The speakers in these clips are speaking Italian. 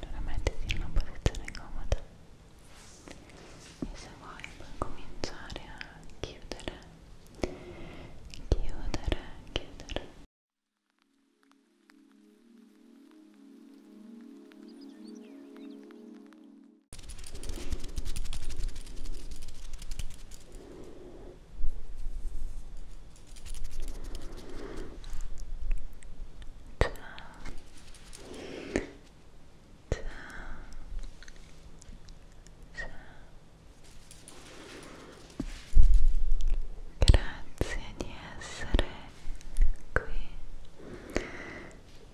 Allora mettiti in una posizione comoda e se vuoi puoi cominciare a chiudere, chiudere, chiudere. Grazie di essere qui.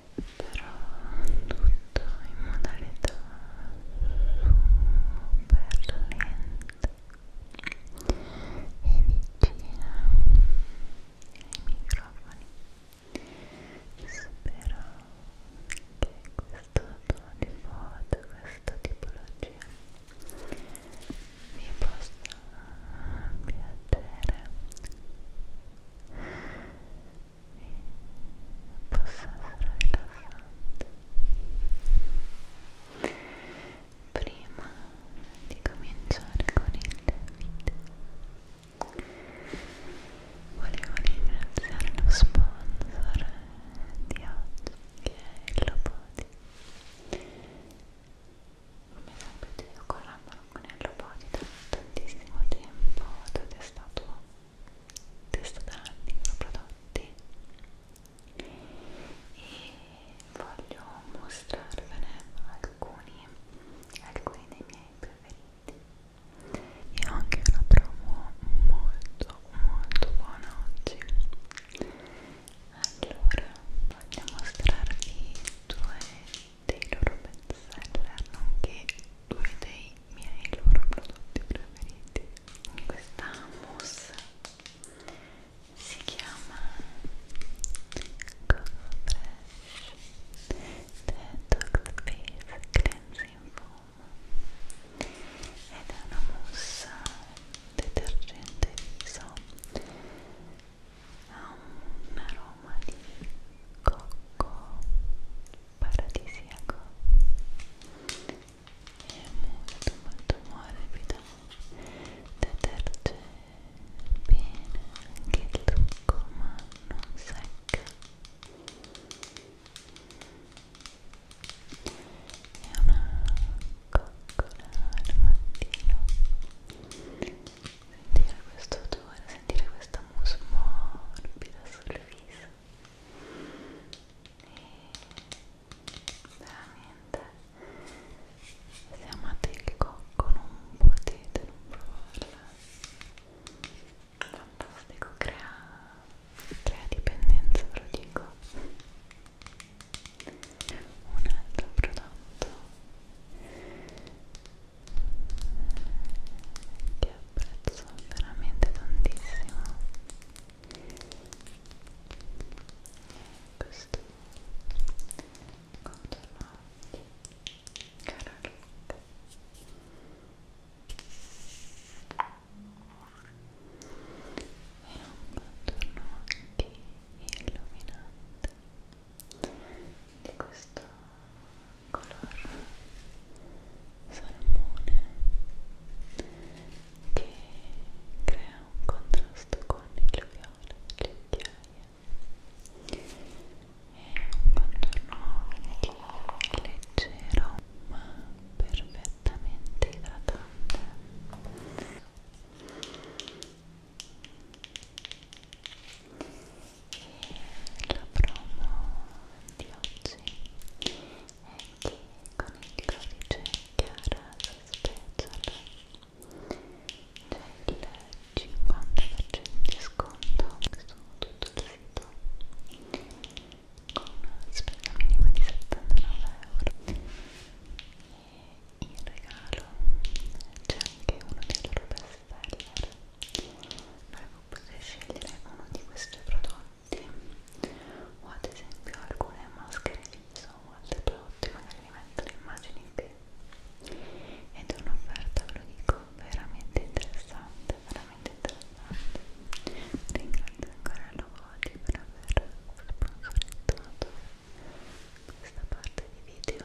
però tutto in modalità super lenta e vicina ai microfoni spero che questo tono di foto, questa tipologia vi possa piacere possa essere rilassante prima di cominciare con il video volevo ringraziare lo sponsor di oggi che è il Lopodi come sapete io collaboro con il Lopodi da tantissimo tempo ed è stato testo da anni con prodotti e voglio mostrarvene alcuni, alcuni dei miei preferiti e ho anche una promo molto molto buona oggi allora voglio mostrarvi due dei loro best seller nonché due dei miei loro prodotti preferiti questa mousse si chiama Go Fresh Detox Face Cleansing Foam ed è una mousse detergente viso ha un aroma di cocco paradisiaco è molto molto morbido deterge bene anche il trucco ma non secca è una coccola al mattino sentire questo odore, sentire questa mousse morbida sul viso e veramente se amate il cocco non potete non provarla fantastico crea, crea dipendenza ve lo dico un altro prodotto ti apprezzo veramente tantissimo questo contorno cara Luca è un contorno occhi illuminante di questo color salmone che crea un contrasto con il viola e le occhiaie è un contorno leggero ma perfettamente idratante e la promo di oggi è che con il codice Chiara Special c'è il 50% di sconto su tutto il sito con una spesa minima di 79 euro e in regalo c'è anche uno dei loro best bestseller dovremmo poter scegliere uno di questi prodotti o ad esempio alcune maschere viso o altri prodotti magari mi mettono immagini qui ed è un'offerta ve lo dico veramente interessante veramente interessante ringrazio ancora Lovoti per aver sponsorizzato questa parte di video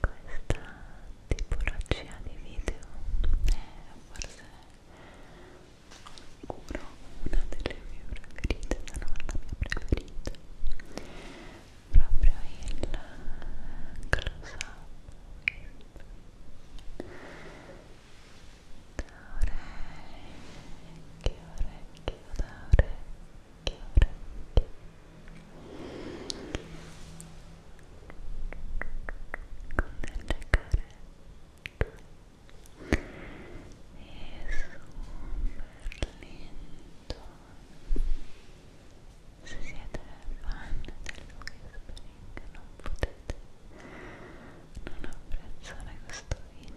questa tipologia di video è eh, forse sicuro una delle mie preferite se non la mia preferita proprio il close up da orecchio, orecchio da orecchio se siete fan del Lucky Spring non potete non apprezzare questo video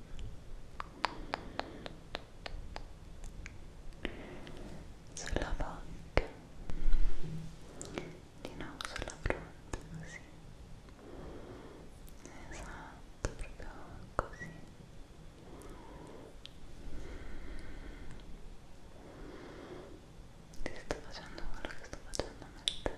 sulla bocca di nuovo sulla fronte così esatto proprio così ti sto facendo quello che sto facendo a me stessa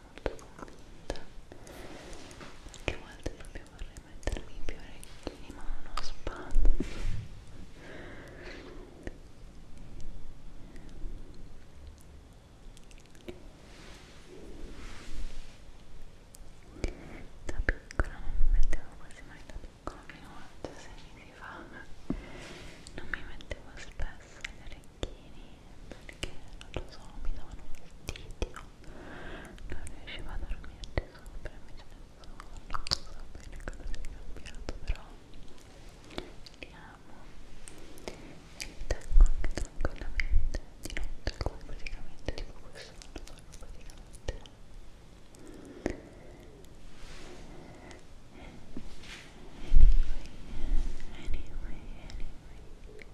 molto convinta che a volte proprio vorrei mettermi più orecchini ma non ho spazio da piccola non mi mettevo quasi mai da piccola fino a 6 mesi fa non mi mettevo spesso gli orecchini tacchini perché non lo so, mi davano un fastidio non riuscivo a dormirci sopra invece adesso non so bene cosa sia cambiato però li amo e li tengo anche tranquillamente di notte come praticamente tipo questo non lo so praticamente Anyway, anyway, anyway,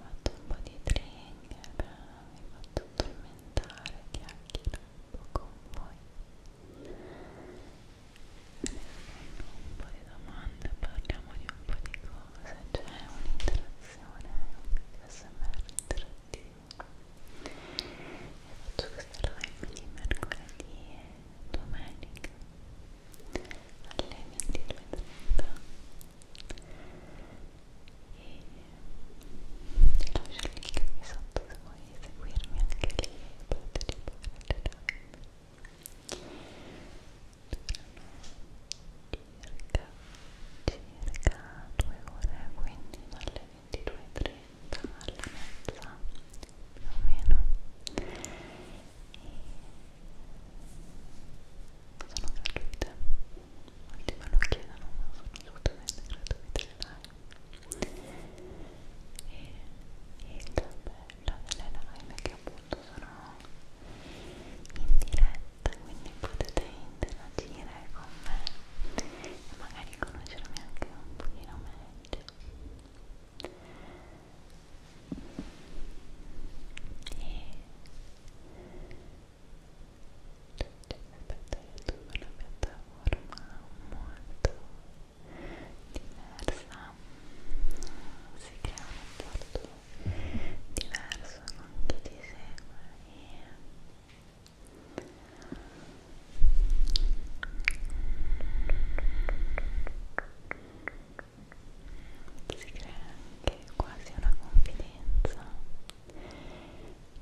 fatto un po' di trigger, mi ha fatto tormentare, chiacchiera un po' con voi un po' di domande, parliamo di un po' di cose, c'è cioè un'interazione, un smr interattivo e faccio questo live di mercoledì e domenica alle 22.30 e lascio il link qui sotto se vuoi seguirmi anche lì e partecipare alle live durano circa, circa 2 ore quindi dalle 22.30 alle mezza più o meno e sono gratuite molti me lo chiedono ma sono assolutamente gratuite le live e il bello delle live è che appunto sono in diretta quindi potete interagire con me e magari conoscermi anche un pochino meglio e aspetta youtube è una piattaforma molto diversa si crea un rapporto diverso con chi ti segue e si crea anche quasi una confidenza senza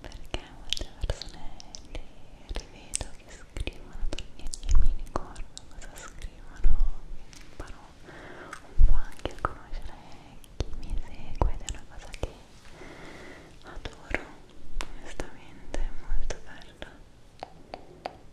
perché molte persone li rivedo che scrivono perché mi ricordo cosa scrivono imparo un po' anche a conoscere chi mi segue ed è una cosa che adoro onestamente è molto bella Ecco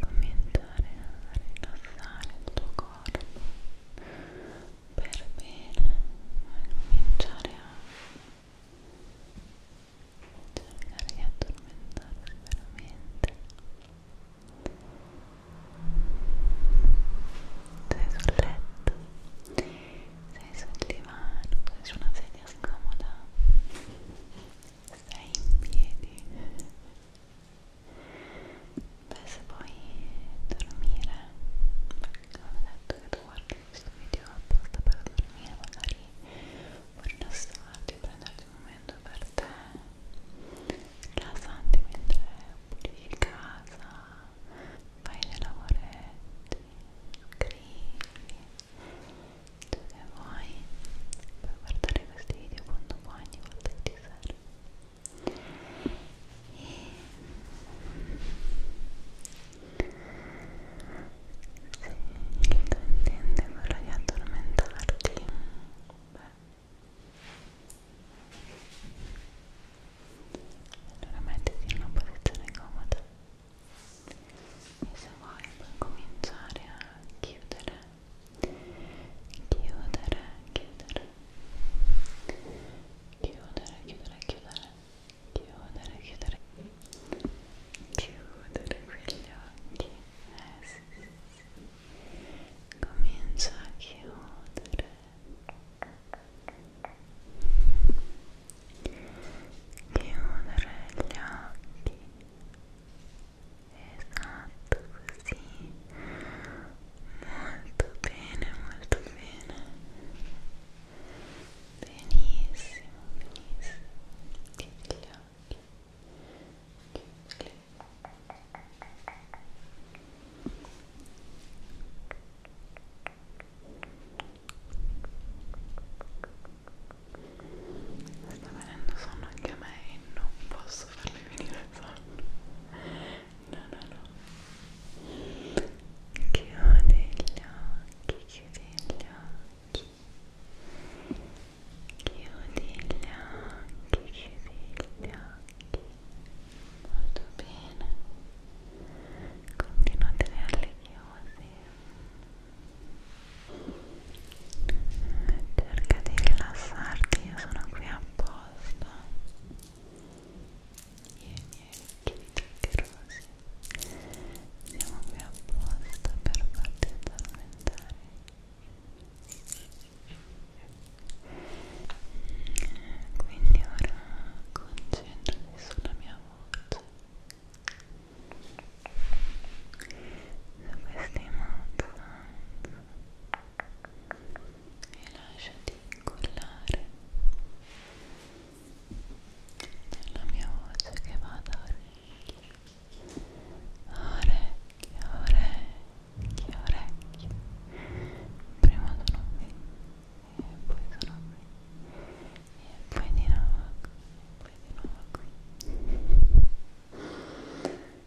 cominciare a rilassare il tuo corpo per bene a cominciare a cercare di addormentarsi veramente sei sul letto sei sul divano sei su una sedia scomoda sei in piedi Beh, se vuoi dormire, perché non è detto che tu guardi questo video apposta per dormire, magari vuoi rilassarti, prenderti un momento per te, rilassanti mentre pulisci casa, fai dei lavoretti, scrivi, ciò che vuoi. Puoi guardare questi video quando vuoi, ogni volta che ti laser e se il tuo intento è quello di addormentarti beh allora mettiti in una posizione comoda e se vuoi puoi cominciare a chiudere chiudere, chiudere chiudere, chiudere, chiudere chiudere, chiudere chiudere chiudere gli occhi eh, chiudere gli chiudere chiudere gli occhi esatto così molto bene molto bene benissimo benissimo chiudi gli occhi chiudi Sta venendo sonno anche a me e non posso farle venire il sonno no no no chiudi gli occhi chiudi gli occhi chiudi gli occhi chiudi gli occhi molto bene continuate a tenerli chiusi cerca di rilassarti, io sono qui apposta io e i miei occhi tutti rosi siamo qui apposta per farti addormentare quindi ora concentrati sulla mia voce su questi mozzanti e lasciati incollare nella mia voce che va da orecchio orecchio, orecchio, orecchio prima sono qui e poi sono qui e poi di nuovo qui e poi di nuovo qui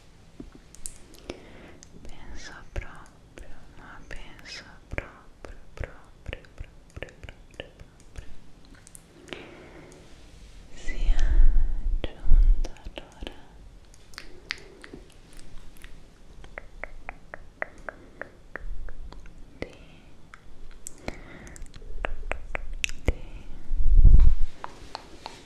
pensa próprio, uma penso próprio, próprio, próprio, próprio, próprio.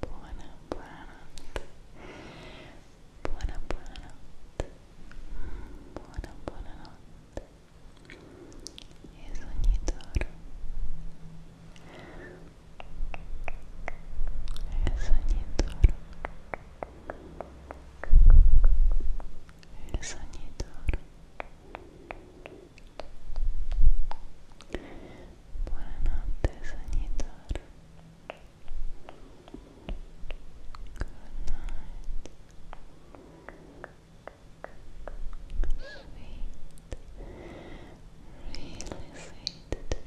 buona buonanotte buona buonanotte buona buonanotte mm, e sogni d'oro e sogni d'oro e sogni d'oro Buonanotte sognatore. Good night. Sweet, really sweet dreams. good night.